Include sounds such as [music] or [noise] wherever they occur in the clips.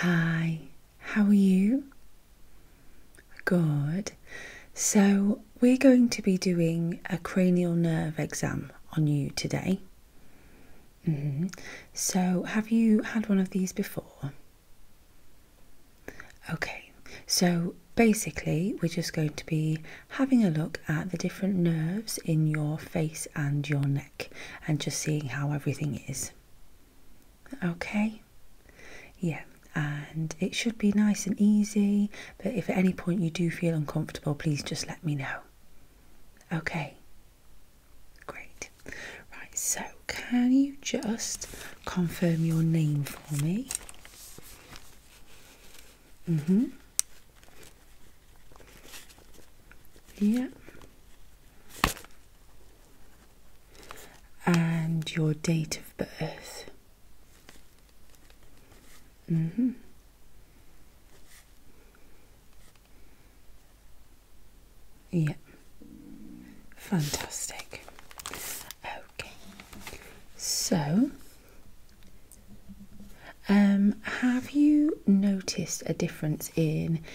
Hi, how are you? Good. So, we're going to be doing a cranial nerve exam on you today. Mm-hmm. So, have you had one of these before? Okay, so basically, we're just going to be having a look at the different nerves in your face and your neck and just seeing how everything is. Okay? Yeah, and it should be nice and easy, but if at any point you do feel uncomfortable, please just let me know. Okay? Great. Right, so can you just confirm your name for me? Mm hmm. Yeah. and your date of birth. Mm -hmm. Yeah, fantastic. Okay, so um, have you noticed a difference in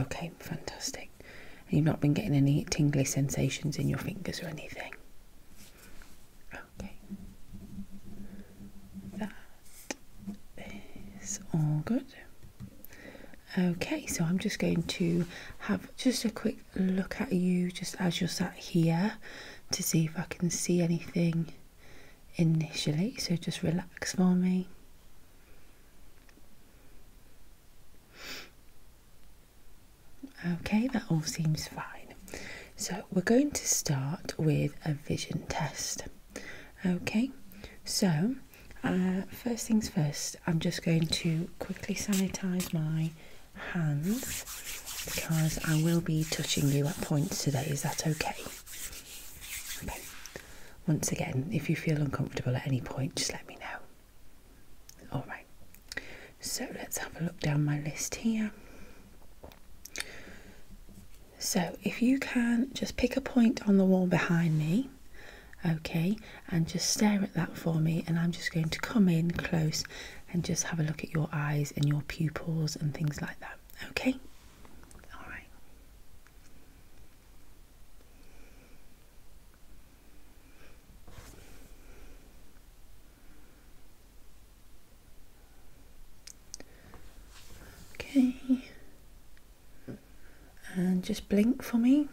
Okay, fantastic. you've not been getting any tingly sensations in your fingers or anything? Okay. That is all good. Okay, so I'm just going to have just a quick look at you just as you're sat here to see if I can see anything initially. So just relax for me. Okay, that all seems fine. So we're going to start with a vision test. Okay, so uh, first things first, I'm just going to quickly sanitize my hands because I will be touching you at points today. Is that okay? Okay. Once again, if you feel uncomfortable at any point, just let me know. All right, so let's have a look down my list here. So, if you can just pick a point on the wall behind me, okay, and just stare at that for me, and I'm just going to come in close and just have a look at your eyes and your pupils and things like that, okay? All right. Okay, and just blink for me,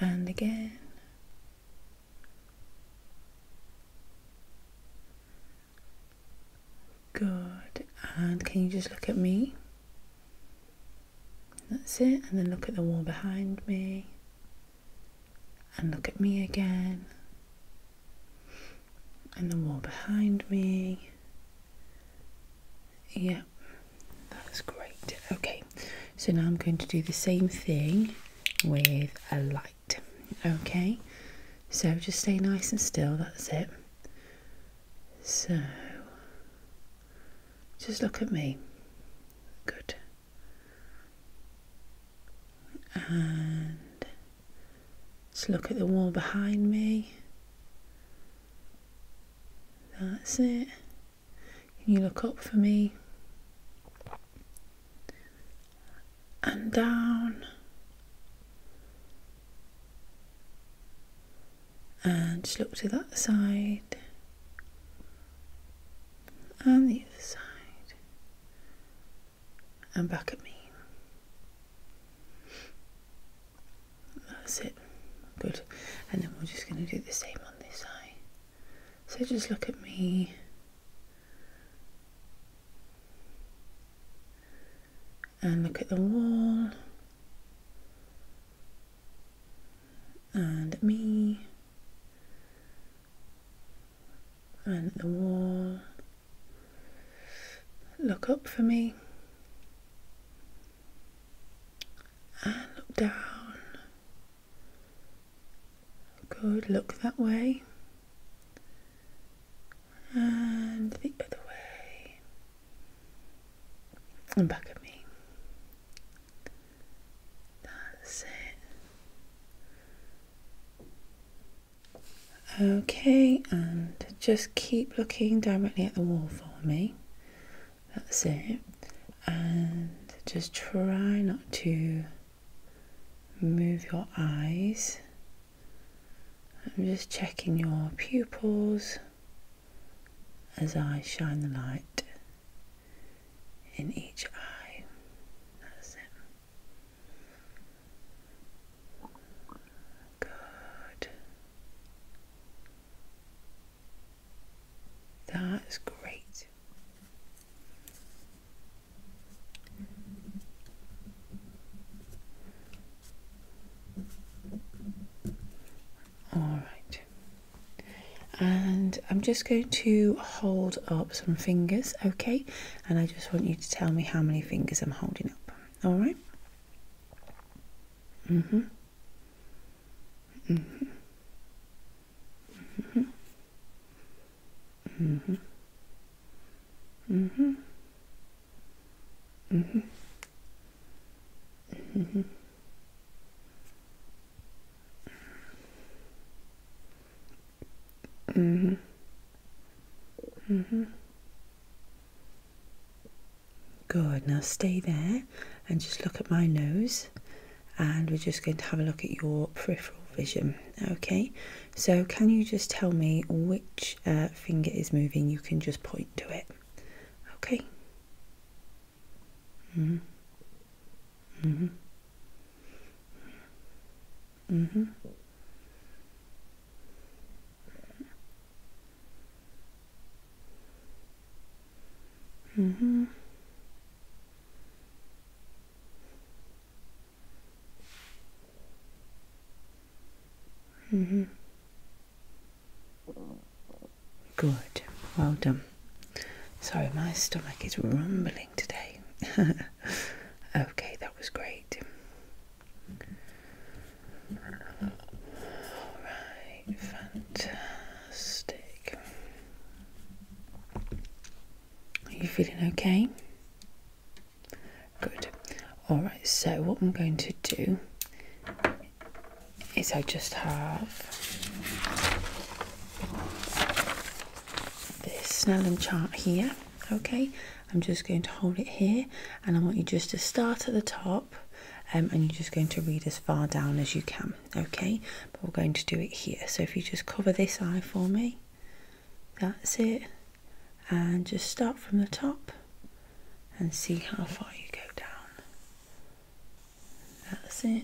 and again. Good, and can you just look at me? That's it, and then look at the wall behind me, and look at me again, and the wall behind me. Yeah, that's great. Okay, so now I'm going to do the same thing with a light. Okay, so just stay nice and still, that's it. So, just look at me. Good. And just look at the wall behind me. That's it. Can you look up for me? And down and just look to that side and the other side and back at me. That's it. Good. And then we're just going to do the same on this eye. So just look at me and look at the wall and at me and the wall. Look up for me and look down. Good, look that way and the other way and back at me. That's it. Okay, and just keep looking directly at the wall for me. That's it. And just try not to move your eyes. I'm just checking your pupils as I shine the light in each eye. That's it. Good. That's great. All right. And I'm just going to hold up some fingers, okay? And I just want you to tell me how many fingers I'm holding up. All right? Mm-hmm. Mm-hmm. Mm-hmm. Mm-hmm. Mm-hmm. Mm-hmm. Mm-hmm. Mm-hmm. Mm-hmm. Good. Now stay there and just look at my nose. And we're just going to have a look at your peripheral vision. Okay. So can you just tell me which uh, finger is moving? You can just point to it. Okay. Mhm. Mhm. Mhm. Mhm. Mhm. Good, well done. Sorry, my stomach is rumbling today. [laughs] okay, that was great. Alright, fantastic. Are you feeling okay? Good. All right, so what I'm going to do is I just have this Snellen chart here, okay? I'm just going to hold it here and I want you just to start at the top um, and you're just going to read as far down as you can, okay? But we're going to do it here. So if you just cover this eye for me, that's it. And just start from the top and see how far you go down. That's it.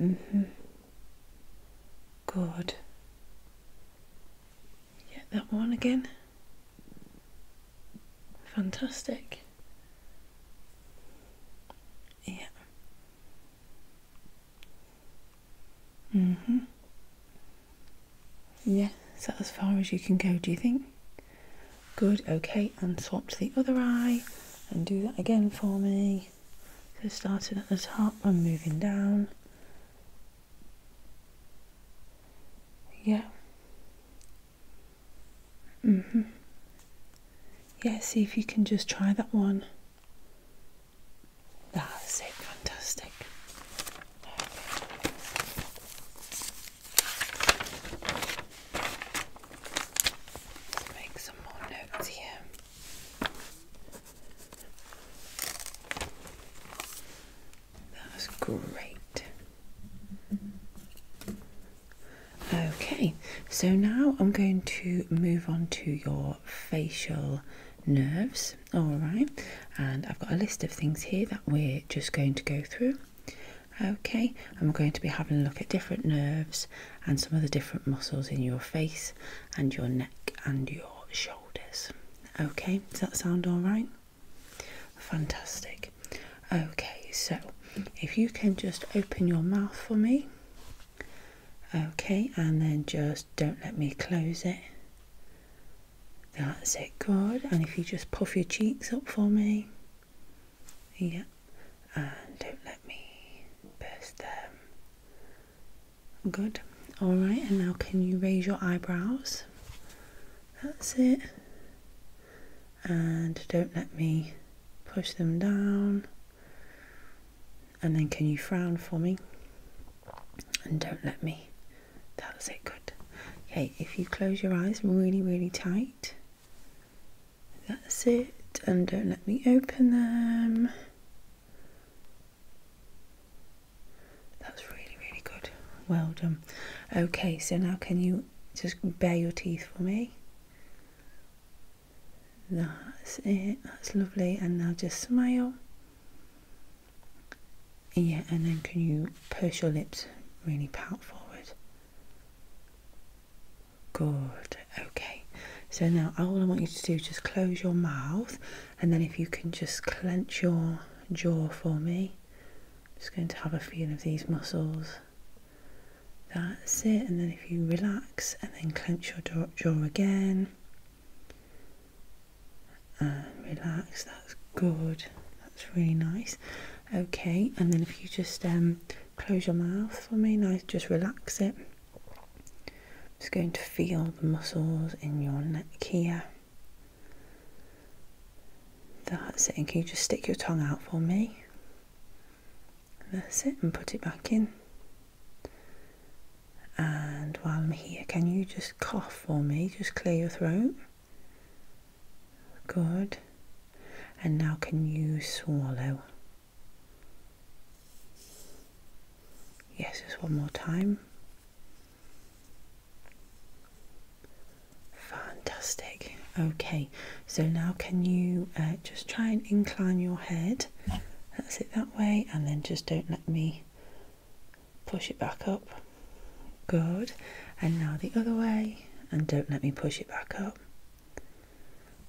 Mm hmm. Good. Get that one again. Fantastic. Yeah. hmm. Yeah, So, as far as you can go, do you think? Good, okay, and swap to the other eye and do that again for me. So starting at the top and moving down. Yeah. Mhm. Mm yeah, see if you can just try that one. That's it, fantastic. Let's make some more notes here. That was great. Okay, so now I'm going to move on to your facial nerves. All right, and I've got a list of things here that we're just going to go through. Okay, and we're going to be having a look at different nerves and some of the different muscles in your face and your neck and your shoulders. Okay, does that sound all right? Fantastic. Okay, so if you can just open your mouth for me. Okay, and then just don't let me close it. That's it, good. And if you just puff your cheeks up for me. Yeah. And don't let me burst them. Good. Alright, and now can you raise your eyebrows? That's it. And don't let me push them down. And then can you frown for me? And don't let me that was it, good. Okay, if you close your eyes really, really tight, that's it. And don't let me open them. That was really, really good. Well done. Okay, so now can you just bare your teeth for me? That's it. That's lovely. And now just smile. Yeah, and then can you push your lips really pout forward? Good, okay. So now all I want you to do is just close your mouth and then if you can just clench your jaw for me. I'm just going to have a feel of these muscles. That's it, and then if you relax and then clench your jaw again and um, relax that's good that's really nice okay and then if you just um, close your mouth for me now just relax it It's going to feel the muscles in your neck here that's it and can you just stick your tongue out for me that's it and put it back in and while I'm here, can you just cough for me? Just clear your throat. Good. And now, can you swallow? Yes, just one more time. Fantastic. Okay, so now can you uh, just try and incline your head? That's it that way, and then just don't let me push it back up good and now the other way and don't let me push it back up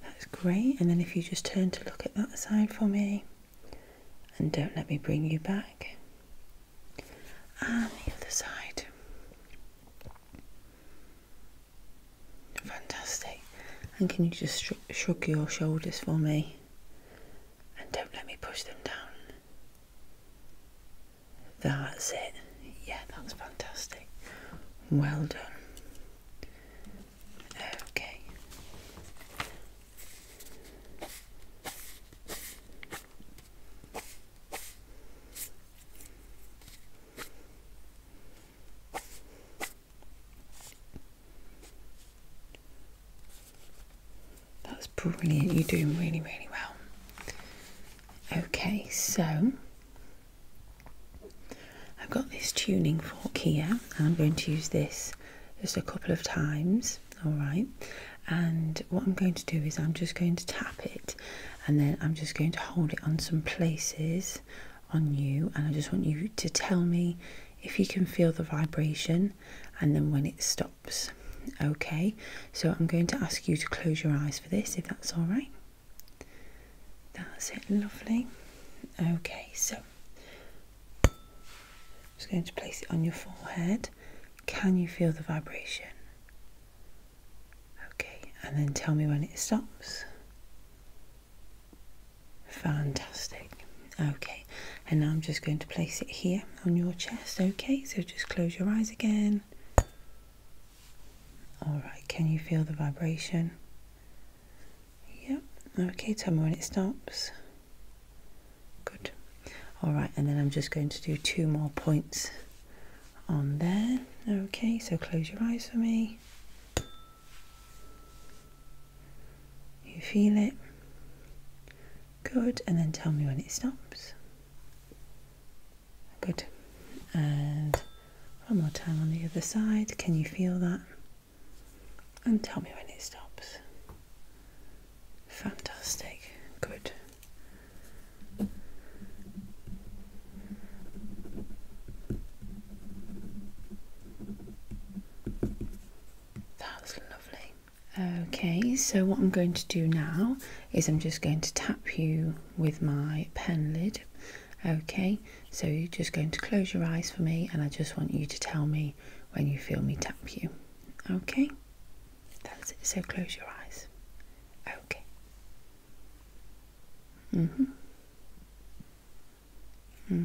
that's great and then if you just turn to look at that side for me and don't let me bring you back and the other side fantastic and can you just shrug your shoulders for me and don't let me push them down. That's it. Yeah, that's fantastic. Well done. Okay. That's brilliant. You're doing really, really well. Okay, so I've got this tuning fork here, and I'm going to use this just a couple of times. All right, and what I'm going to do is I'm just going to tap it, and then I'm just going to hold it on some places on you, and I just want you to tell me if you can feel the vibration, and then when it stops. Okay, so I'm going to ask you to close your eyes for this if that's all right. That's it, lovely. Okay, so I'm just going to place it on your forehead. Can you feel the vibration? Okay, and then tell me when it stops. Fantastic. Okay, and now I'm just going to place it here on your chest. Okay, so just close your eyes again. All right, can you feel the vibration? Yep, okay, tell me when it stops. Good. All right, and then I'm just going to do two more points on there. Okay, so close your eyes for me. You feel it? Good, and then tell me when it stops. Good. And one more time on the other side. Can you feel that? And tell me when it stops. Fantastic. Good. That's lovely. Okay, so what I'm going to do now is I'm just going to tap you with my pen lid. Okay, so you're just going to close your eyes for me and I just want you to tell me when you feel me tap you. Okay, that's it. So close your eyes. Okay. hmm hmm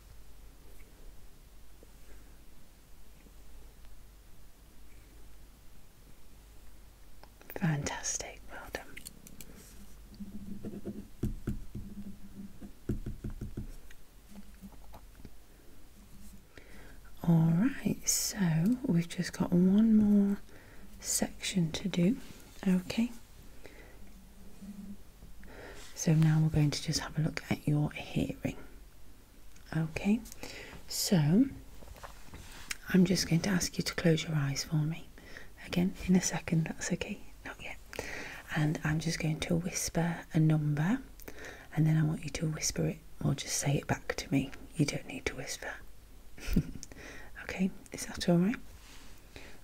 Fantastic, well done. All right, so we've just got one more section to do. Okay, so now we're going to just have a look at your hearing. Okay, so I'm just going to ask you to close your eyes for me. Again, in a second, that's okay, not yet. And I'm just going to whisper a number and then I want you to whisper it or just say it back to me. You don't need to whisper. [laughs] okay, is that all right?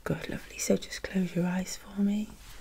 Good, lovely. So just close your eyes for me.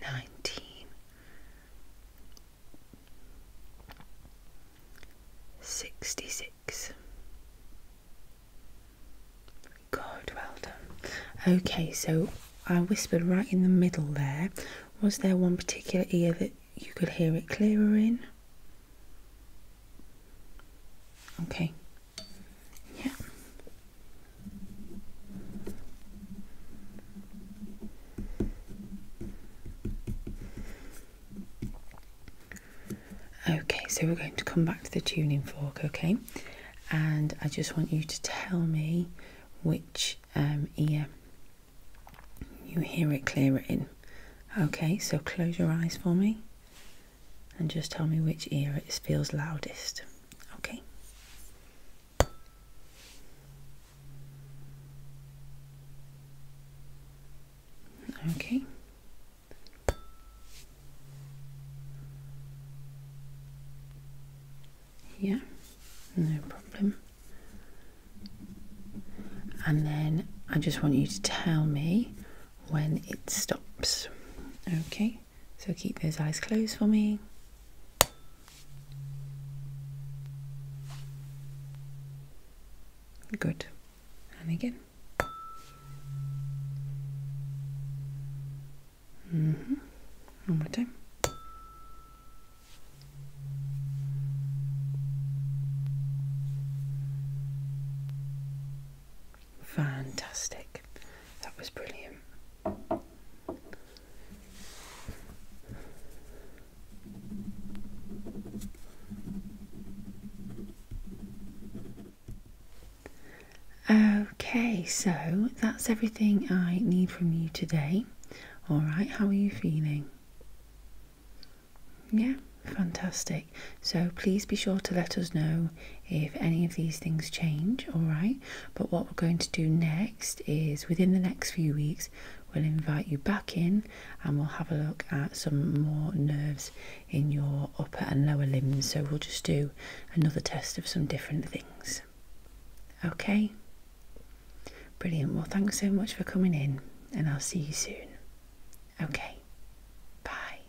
nineteen sixty six. God, well done. Okay, so I whispered right in the middle there. Was there one particular ear that you could hear it clearer in? Okay. Yeah. Okay, so we're going to come back to the tuning fork, okay? And I just want you to tell me which um, ear you hear it clearer in. Okay, so close your eyes for me and just tell me which ear it feels loudest. Okay. Okay. Yeah, no problem. And then I just want you to tell me when it stops. Okay. So keep those eyes closed for me. Good. And again. Mm -hmm. One more time. Fantastic. That was brilliant. Okay, so that's everything I need from you today. All right, how are you feeling? Yeah, fantastic. So please be sure to let us know if any of these things change, all right? But what we're going to do next is within the next few weeks, we'll invite you back in and we'll have a look at some more nerves in your upper and lower limbs. So we'll just do another test of some different things. Okay? Brilliant. Well, thanks so much for coming in, and I'll see you soon. Okay. Bye.